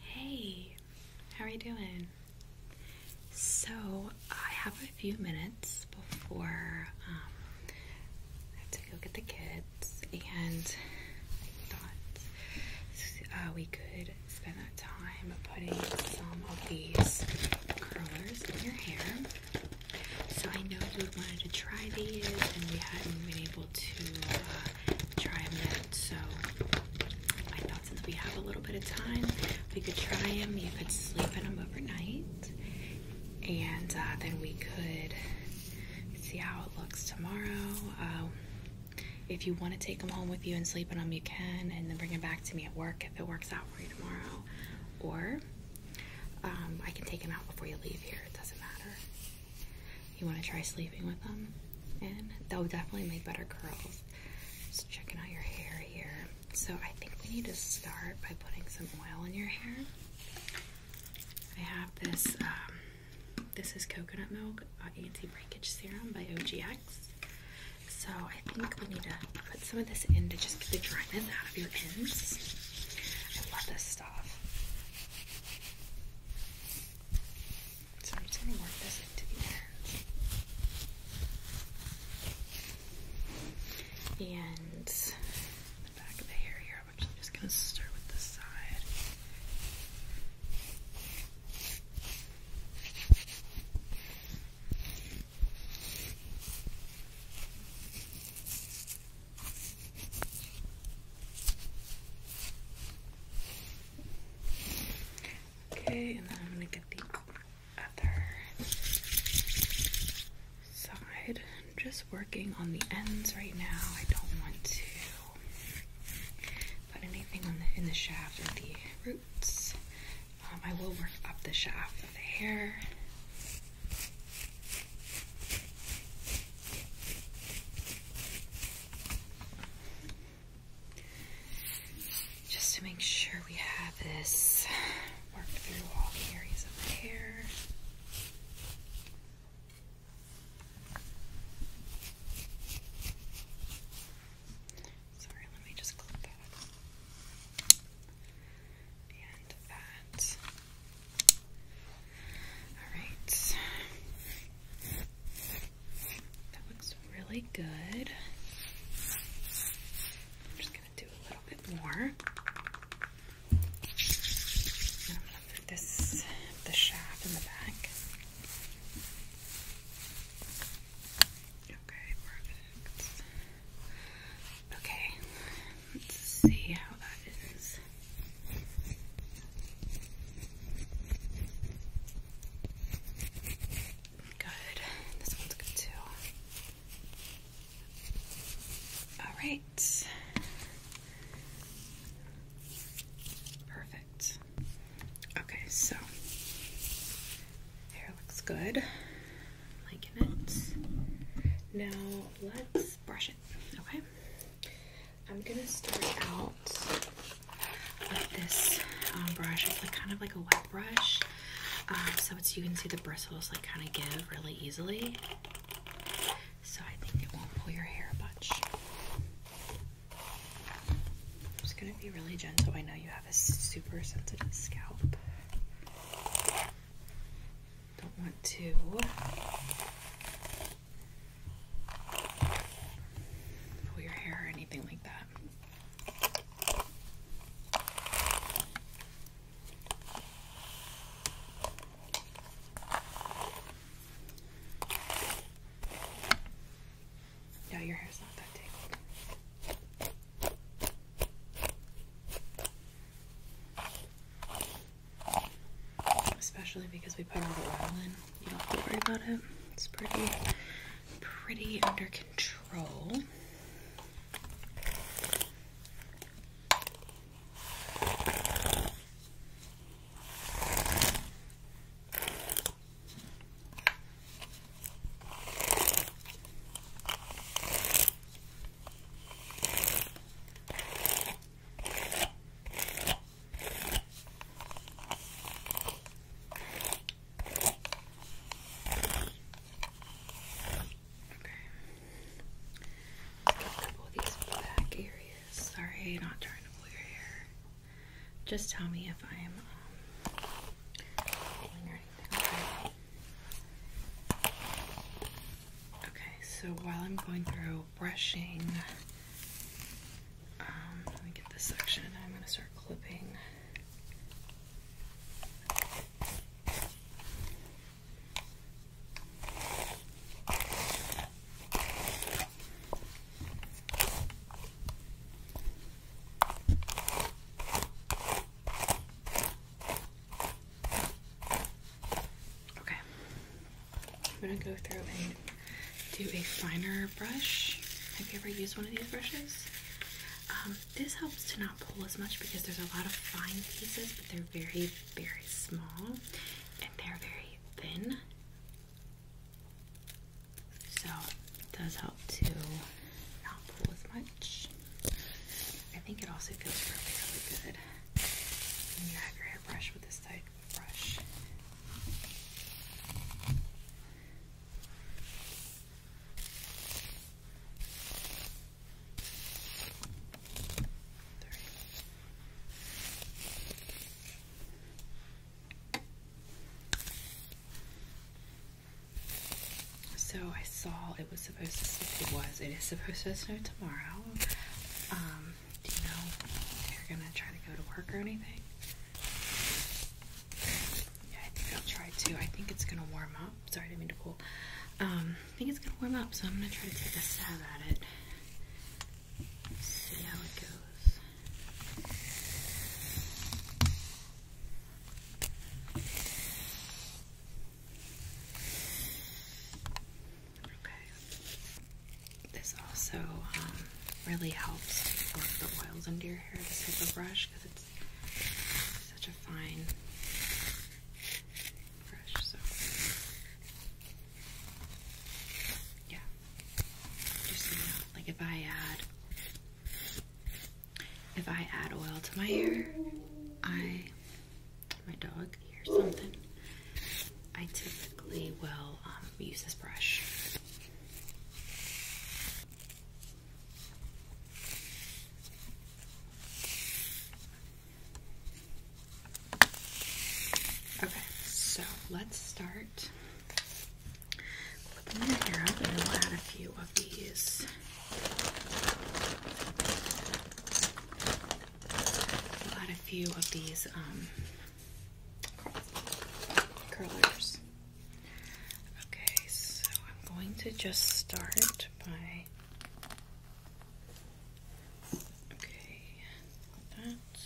Hey, how are you doing? So, I have a few minutes before um, I have to go get the kids, and I thought uh, we could spend that time putting some of these curlers in your hair. So, I know you wanted to try these, and we hadn't been able to. Uh, try them So I thought since we have a little bit of time, we could try them. You could sleep in them overnight, and uh, then we could see how it looks tomorrow. Um, if you want to take them home with you and sleep in them, you can, and then bring them back to me at work if it works out for you tomorrow. Or um, I can take them out before you leave here. It doesn't matter you want to try sleeping with them, and they will definitely make better curls. Just checking out your hair here. So I think we need to start by putting some oil in your hair. I have this. Um, this is coconut milk uh, anti-breakage serum by OGX. So I think we need to put some of this in to just get the dryness out of your ends. I love this stuff. So I'm just going to work this into the ends. And the back of the hair here, I'm actually just going to start with this side. Okay, and then I'm gonna get the other side. I'm just working on the ends right now. I don't want to put anything on the in the shaft or the roots. Um, I will work up the shaft of the hair. Just to make sure we have this worked through all areas of the hair. Sorry, let me just clip that. And that. Alright. That looks really good. I'm just going to do a little bit more. this, the shaft in the back. Okay, perfect. Okay, let's see how that is. Good. This one's good too. All right. Perfect. Okay, so hair looks good. I'm liking it. Now let's brush it. Okay. I'm gonna start out with this um, brush. It's like kind of like a wet brush, um, so it's you can see the bristles like kind of give really easily. So I think it won't pull your hair much. I'm just gonna be really gentle. I know you have a super sensitive scalp. Don't want to pull your hair or anything like that. Yeah, your hair's not that tangled especially because we put all the oil in. You don't have to worry about it. It's pretty, pretty under control. Let's get a couple of these back areas. Sorry, not trying to pull your hair. Just tell me if I am pulling or anything. Okay. Okay, so while I'm going through brushing. Um, let me get this section I'm going to start clipping. Okay, I'm gonna go through and do a finer brush. Have you ever used one of these brushes? Um, this helps to not pull as much because there's a lot of fine pieces, but they're very, very small and they're very thin. So it does help to not pull as much. I think it also feels really, really good when your hairbrush with this side so I saw it was supposed to, it was, it is supposed to snow tomorrow. Um, do you know if are gonna try to go to work or anything? Yeah, I think I'll try to. I think it's gonna warm up. Sorry, I mean to pull. Um, I think it's gonna warm up, so I'm gonna try to take a stab at it. See how it goes. Okay. This also um, really helps to work the oils into your hair, this type of brush, because it's such a fine brush. So, yeah. like if I add. If I add oil to my hair, I my dog hears something, I typically will um, use this brush. Okay, so let's start clipping your hair up, and we'll add a few of these got a few of these um, curlers. Okay, so I'm going to just start by. Okay, that.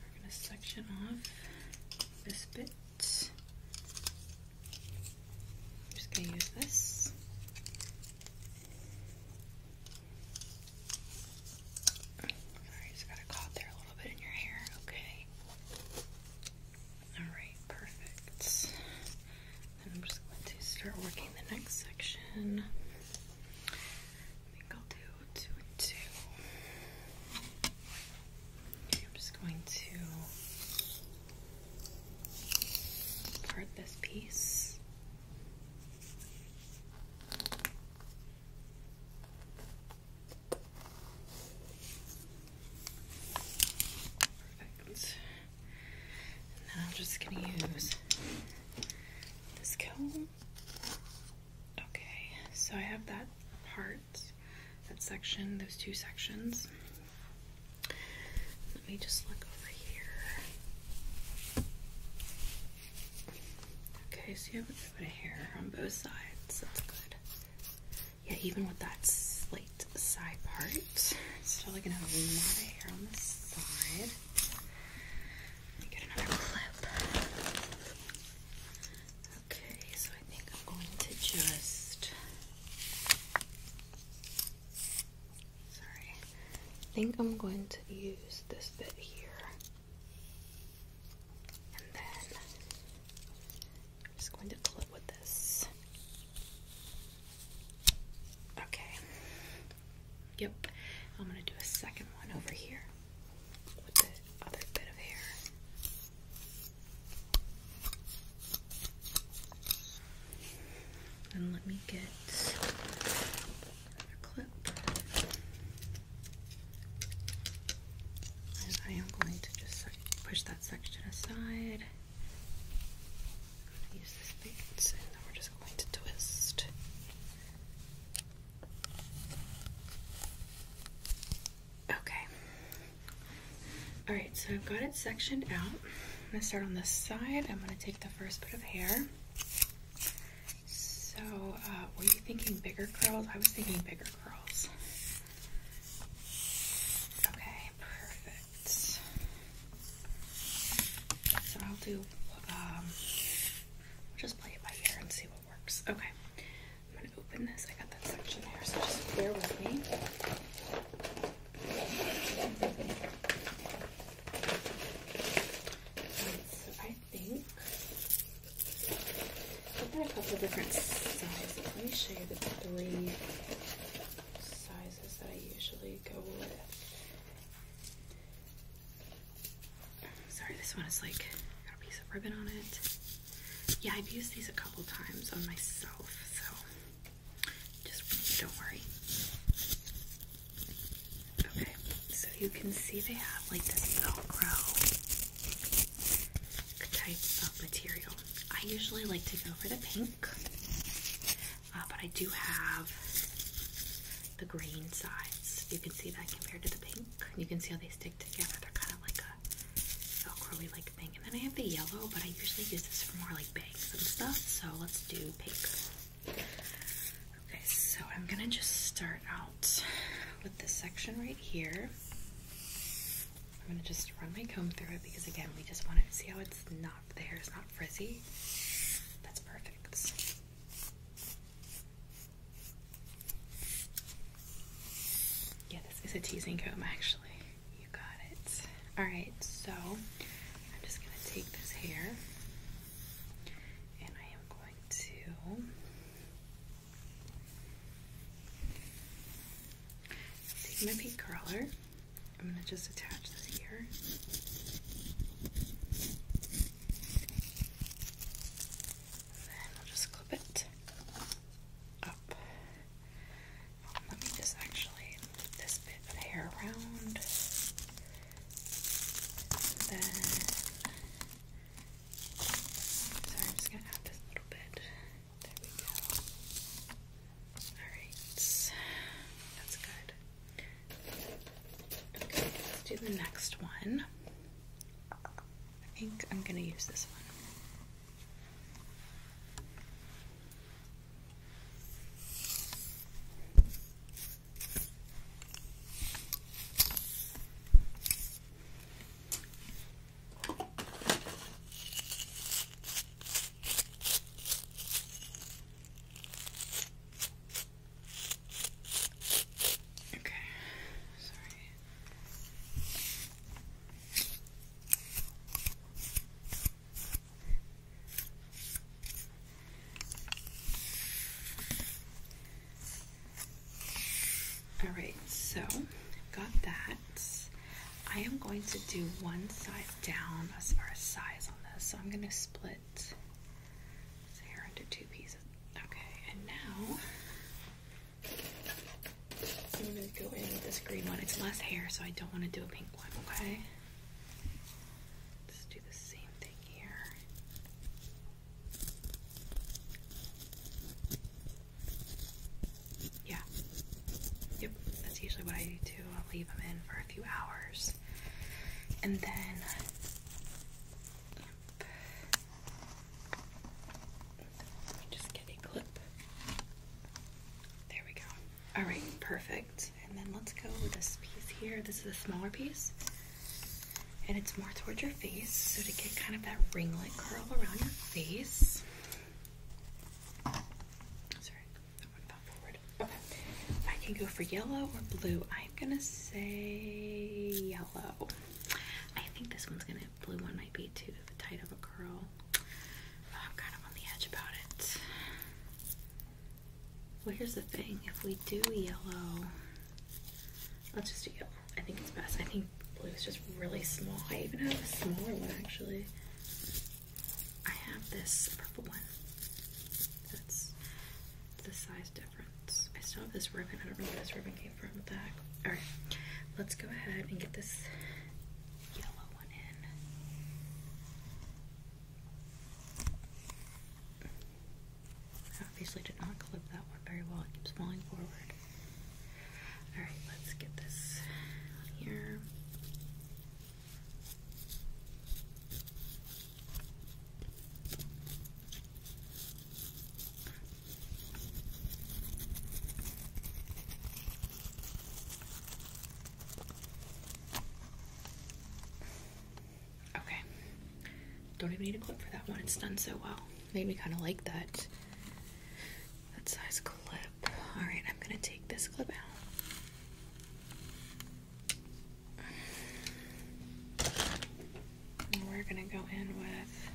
We're going to section off this bit. I'm just going to use this. Sorry, just got a caught there a little bit in your hair. Okay. Alright, perfect. I'm just going to start working the next section. I think I'll do two and two. I'm just going to part this piece. Perfect. And then I'm just going to use this comb. Okay, so I have that part, that section, those two sections. Let me just look over here. Okay, so you have a bit of hair on both sides. That's good. Yeah, even with that slate side part, still like gonna have a lot of hair on this side. get another clip. Okay, so I think I'm going to just Sorry. I think I'm going to use this bit here. And then I'm just going to clip with this. Okay. Yep. I'm going to do a second one over here with the other bit of hair. And let me get I am going to just push that section aside. use this bait and then we're just going to twist. Okay. Alright, so I've got it sectioned out. I'm going to start on the side. I'm going to take the first bit of hair. So, uh, were you thinking bigger curls? I was thinking bigger curls. Okay, perfect. So I'll do. Um, just play it by ear and see what works. Okay, I'm gonna open this. I got that section here, so just bear with me. It's, I think there are a couple different sizes. Let me show you the three sizes that I usually go with. Sorry, this one is like got a piece of ribbon on it. Yeah, I've used these a couple times on myself, so just don't worry. Okay, so you can see they have like this Velcro type of material. I usually like to go for the pink, uh, but I do have the green sides. You can see that compared to the pink. You can see how they stick together. They're kind of like a velcro like thing. And then I have the yellow, but I usually use this for more like bags and stuff. So let's do pink. Okay, so I'm gonna just start out with this section right here. I'm gonna just run my comb through it because again, we just want to see how it's not, the hair is not frizzy. That's perfect. Yeah, this is a teasing comb actually. You got it. All right, so I'm just gonna take this hair and I am going to take my pink curler. I'm going to just attach this here. And I'll just clip it up. Um, let me just actually move this bit of hair around then, sorry, I'm just gonna add this little bit. There we go. Alright, that's good. Okay, let's do the next one. I think I'm gonna use this one. Okay, sorry. All right, so got that. I am going to do one side down as far as size on this, so I'm going to split this hair into two pieces. Okay, and now I'm going to go in with this green one. It's less hair, so I don't want to do a pink one, okay? Let's do the same thing here. Yeah. Yep, that's usually what I do too. I'll leave them in for a few hours. And then just get a clip. There we go. Alright, perfect. And then let's go with this piece here. This is a smaller piece. And it's more towards your face. So to get kind of that ringlet curl around your face. Sorry, that one forward. Okay. I can go for yellow or blue. I'm gonna say yellow. I think this one's gonna blue one might be too tight of a curl. I'm kind of on the edge about it. Well, here's the thing. If we do yellow, let's just do yellow. I think it's best. I think blue is just really small. I even have a smaller one, actually. I have this purple one. That's the size difference. I still have this ribbon. I don't know where this ribbon came from. What the heck? All right. Let's go ahead and get this yellow one in. I obviously did not clip that one very well. It keeps falling forward. Alright, let's get this here. Okay. Don't even need a clip for that one. It's done so well. Made me kind of like that. That size clip. Alright, I'm going to take this clip out. And we're going to go in with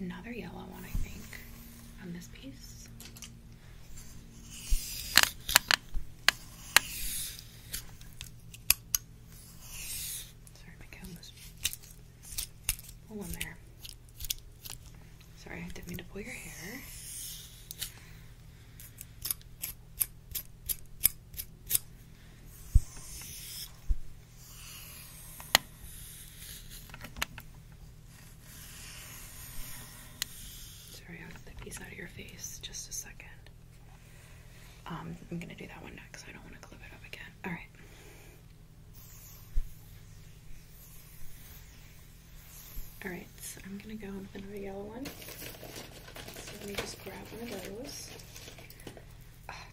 another yellow one, I think, on this piece. Sorry, my camera's all in there. Sorry, I didn't mean to pull your hair. Sorry, i got the piece out of your face. Just a second. Um, I'm gonna do that one next. I don't want to clip it up again. All right. All right, so I'm gonna go with another yellow one. So let me just grab one of those.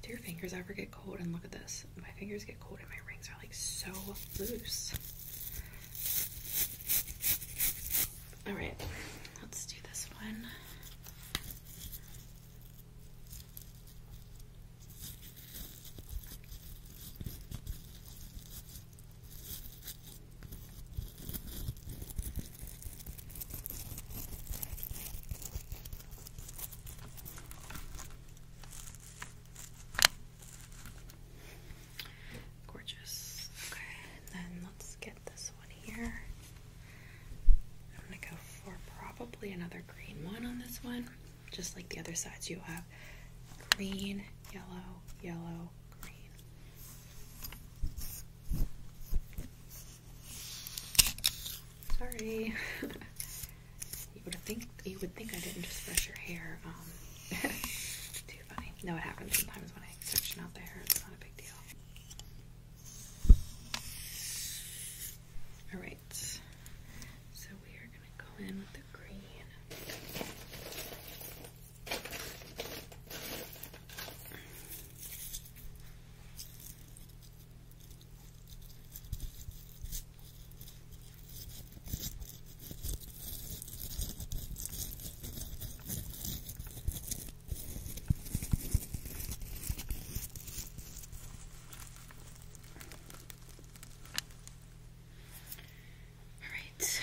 do your fingers ever get cold? And look at this. My fingers get cold and my rings are like so loose. All right, let's do this one. Gorgeous. Okay, and then let's get this one here. I'm gonna go for probably another green one on this one. Just like the other sides, you have green, yellow, yellow, green. Sorry. you would think you would think I didn't just brush your hair um, pretty funny. No, it happens sometimes when I section out the hair. It's not a big deal. All right, so we are gonna go in with the green. All right,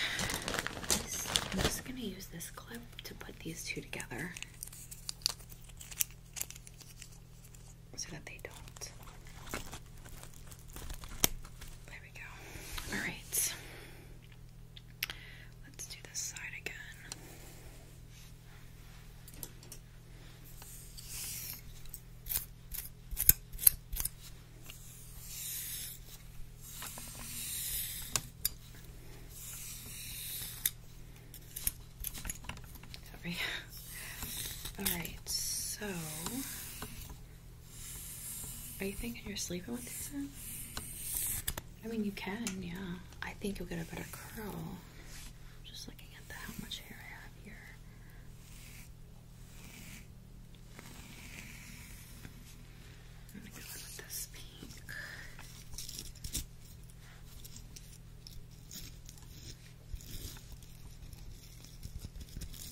I'm just going to use this clip to put these two together so that they don't. All right. Let's do this side again. Sorry. All right. So are you thinking you're sleeping with this? in? I mean, you can, yeah. I think you'll get a better curl. Just looking at how much hair I have here. I'm going with this pink.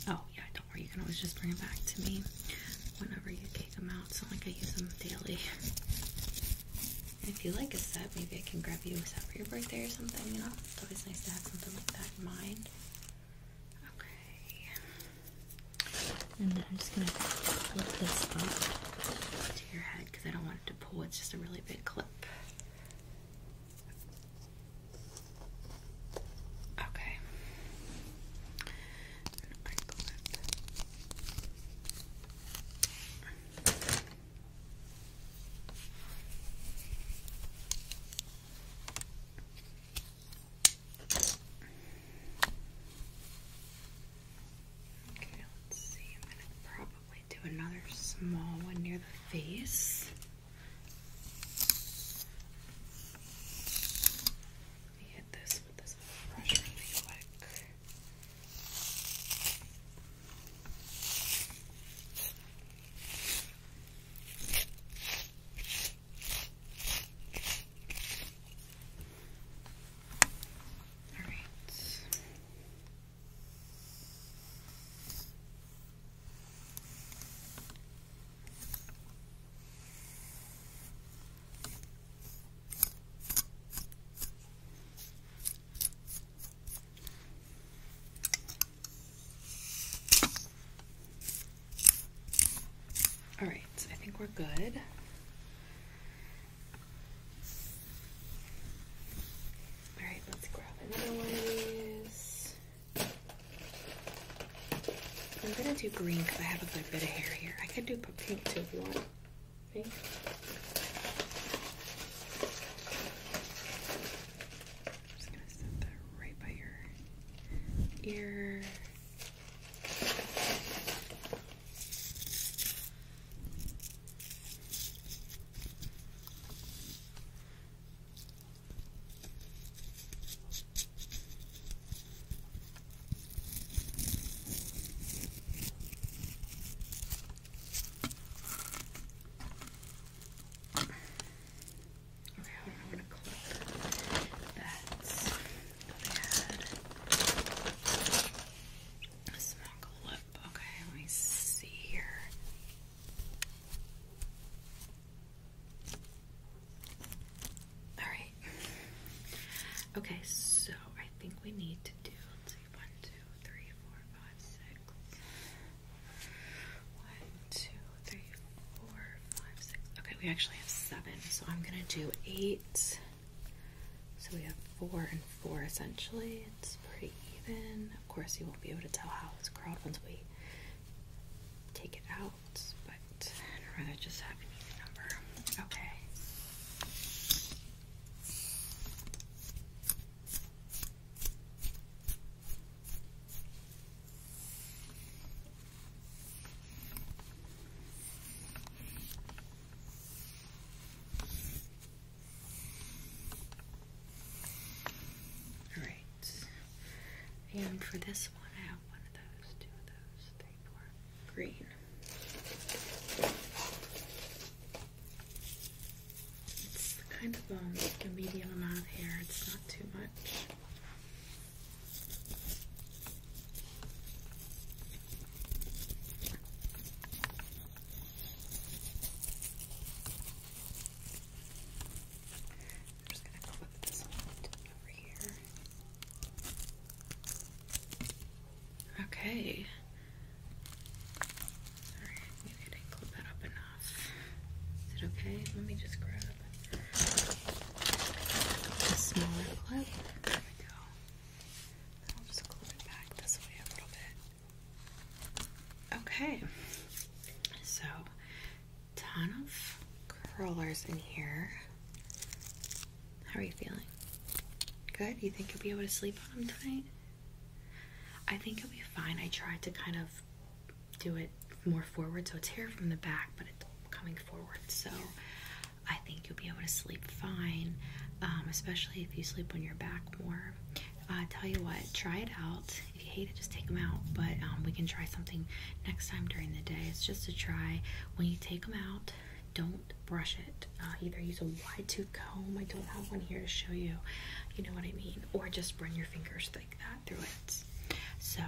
Oh, yeah, or you can always just bring it back to me whenever you take them out. So like I use them daily. If you like a set, maybe I can grab you a set for your birthday or something, you know? It's always nice to have something like that in mind. Okay. And then I'm just gonna clip this up to your head because I don't want it to pull, it's just a really big clip. Okay. Okay, let's see. I'm going to probably do another small one near the face. Let me hit this with this brush really quick. All right. All right, I think we're good. All right, let's grab another one of these. I'm gonna do green because I have a good bit of hair here. I could do pink too if you want. Pink. I'm just gonna set that right by your ear. Okay, I'm gonna clip that. a small clip. Okay, let me see here. Alright. Okay, so I think we need to do let's see One, two, three, four, five, six. Okay, we actually have seven, so I'm gonna do eight. So we have four and four essentially. It's pretty even. Of course, you won't be able to tell how it's curled once we take it out but I'd rather just have your number. Okay. All right. And for this one, I have one of those, two of those, three, four. Green. It's kind of um, a medium amount here. it's not too much. Okay. Alright, maybe I didn't clip that up enough. Is it okay? Let me just grab a smaller clip. There we go. I'll just clip it back this way a little bit. Okay. So ton of curlers in here. How are you feeling? Good? You think you'll be able to sleep on them tonight? I think you'll be fine. I tried to kind of do it more forward, so it's here from the back, but it's coming forward. So I think you'll be able to sleep fine, um, especially if you sleep on your back more. Uh, tell you what, try it out. If you hate it, just take them out. But um, we can try something next time during the day. It's just a try. When you take them out, don't brush it. Uh, either use a wide tooth comb. I don't have one here to show you. You know what I mean. Or just run your fingers like that through it. So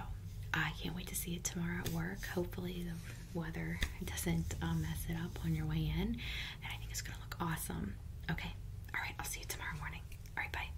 I can't wait to see it tomorrow at work. Hopefully the weather doesn't uh, mess it up on your way in. And I think it's going to look awesome. Okay. All right. I'll see you tomorrow morning. All right. Bye.